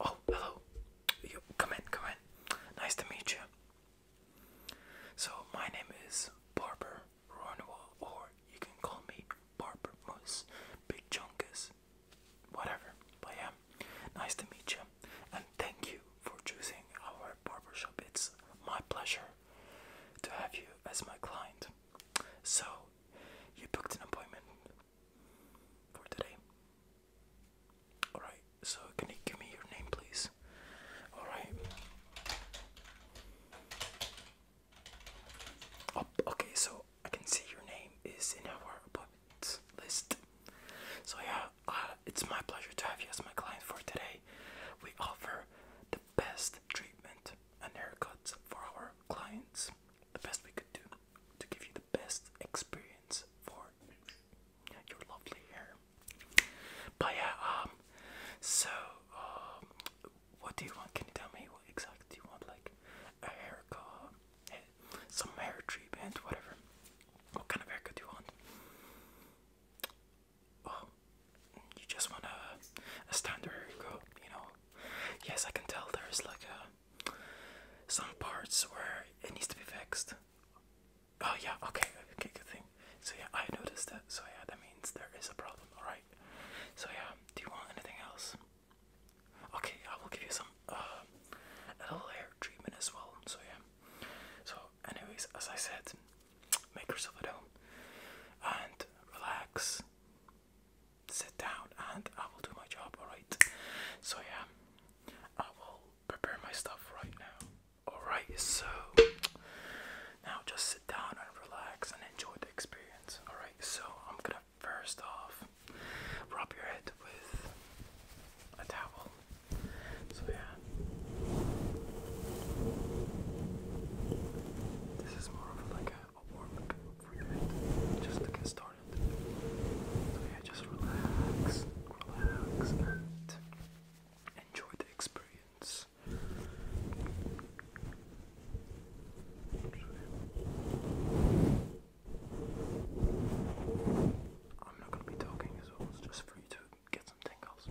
Oh, hello. You come in, come in. Nice to meet you. So my name is Barbara Ronwell, or you can call me Barbara Moose, Big Junkus, whatever. I am. Nice to meet you, and thank you for choosing our barber shop. It's my pleasure to have you as my client. So, you booked an appointment for today. Alright, so can you give me your name, please? Alright. Oh, okay, so I can see your name is in our appointment list. So yeah, uh, it's my pleasure to have you as my client for today. We offer the best treatment and haircuts for our clients. The best we could do to give you the best experience for your lovely hair. But yeah, um, so um, what do you want? Can you tell me what exactly do you want? Like a haircut, eh, some hair treatment, whatever. What kind of haircut do you want? Oh, you just want a, standard haircut, you know? Yes, I can tell there's like a, some parts where it needs to be fixed. Oh yeah, okay, okay, good thing. So yeah, I noticed that. So yeah, that means there is a problem, alright? So yeah, do you want anything else? Okay, I will give you some uh, a little hair treatment as well. So yeah. So, anyways, as I said, make yourself at home and relax. Sit down, and I will do my job. All right. So yeah, I will prepare my stuff right now. All right. So now just sit down and relax and enjoy the experience. All right. So I'm gonna First off, rub your head with a towel. So, yeah, this is more of like a, warm up for your head just to get started. So, yeah, just relax, relax, and enjoy the experience. I'm not going to be talking as well, it's just for you to get some tingles.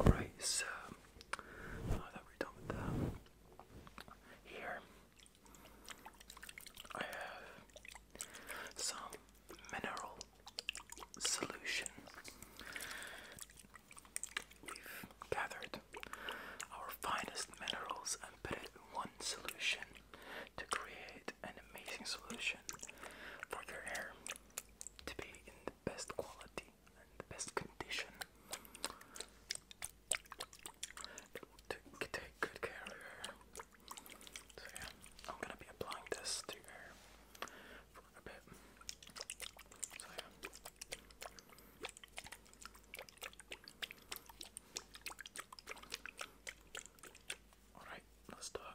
All right, so um, here, I have some mineral solution. We've gathered our finest minerals and put it in one solution to create an amazing solution for your hair to be in the best quality in the best condition. Take good care of her. So yeah, I'm gonna be applying this to her for a bit. So yeah. Alright, let's start.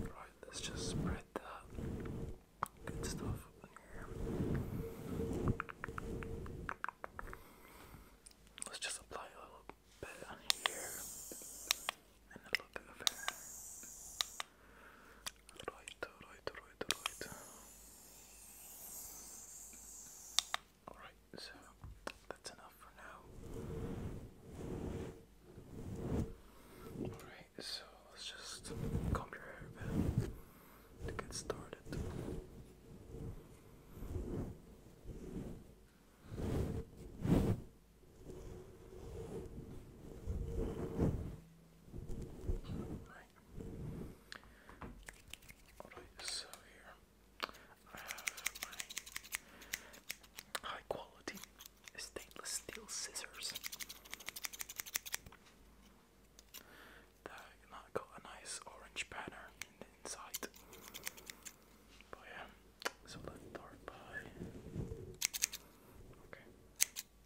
Right, let's just spread that good stuff on here. Let's just apply a little bit on here and a little bit of Right, right, right, right. Alright, so that's enough for now. Alright, so let's just comb your hair a to get started. Alright, so here I have my high quality stainless steel scissors. they got a nice orange banner inside. But yeah, so let's start by. Okay.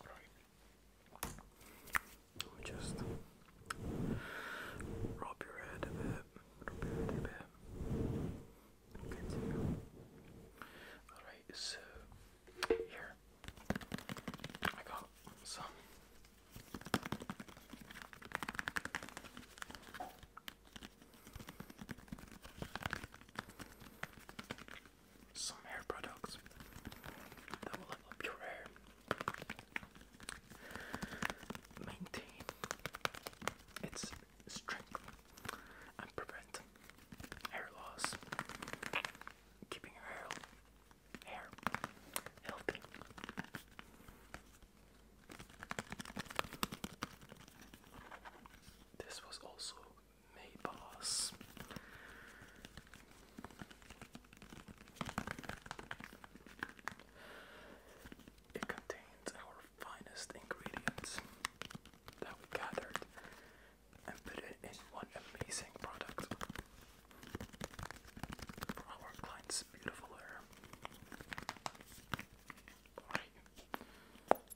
Right. Let just rub your head a bit. a bit. Continue. Alright, so here I got some. Some hair products that will level your hair, maintain its strength, and prevent hair loss, keeping your hair healthy. This was also May boss. It contains our finest ingredients that we gathered and put it in one amazing product for our clients' beautiful hair.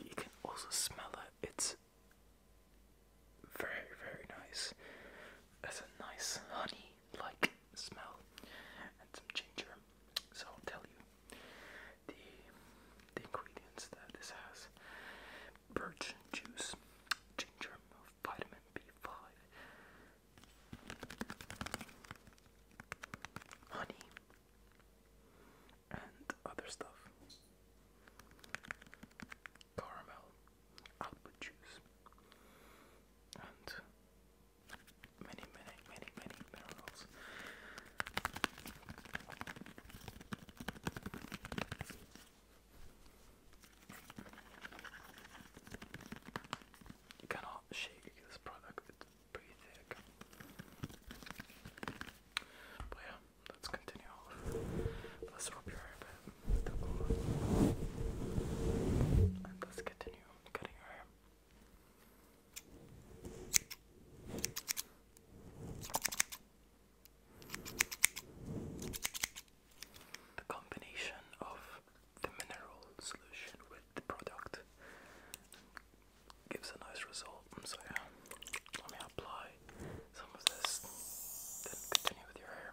You can also smell it. It's very, very nice. It's a nice honey like smell and some ginger. So I'll tell you the the ingredients that this has birch juice, ginger, vitamin B5, honey, and other stuff. Caramel, output juice, and many, many, many, many minerals. You cannot shake this product, it's pretty thick. But yeah, let's continue Let's rub your hair a bit. let's continue cutting your hair the combination of the mineral solution with the product gives a nice result. Um, so yeah, let me apply some of this, then continue with your hair.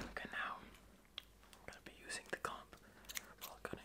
Okay, now I'm gonna be using the comp while cutting.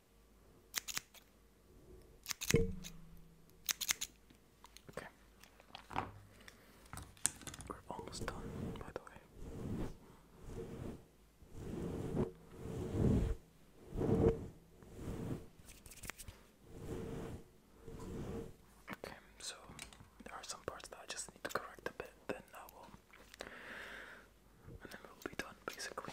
Okay. We're almost done, by the way. Okay, so there are some parts that I just need to correct a bit, then I will. And then we'll be done basically.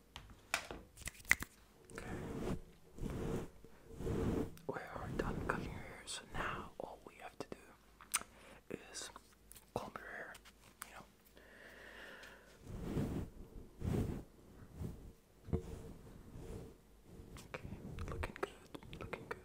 Okay. We are done cutting your hair, so now all we have to do is comb your hair, you know. Okay, looking good, looking good.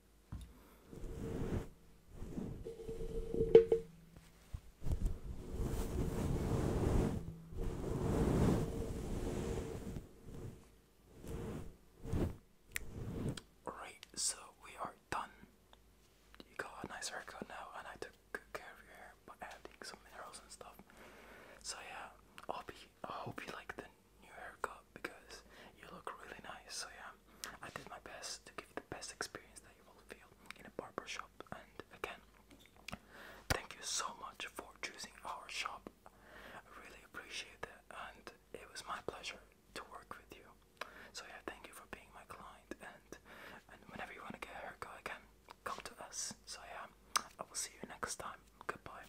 Alright, so we are done. You got a nice haircut now, and I took good care of your hair by adding some minerals and stuff. So yeah, I'll be. I hope you like the new haircut because you look really nice. So yeah, I did my best to give the best experience that you will feel in a barber shop. And again, thank you so much for choosing our shop. I really appreciate it, and it was my pleasure to work with you. So yeah, thank you for being my client. And and whenever you want to get a haircut again, come to us. So yeah, I will see you next time. Goodbye.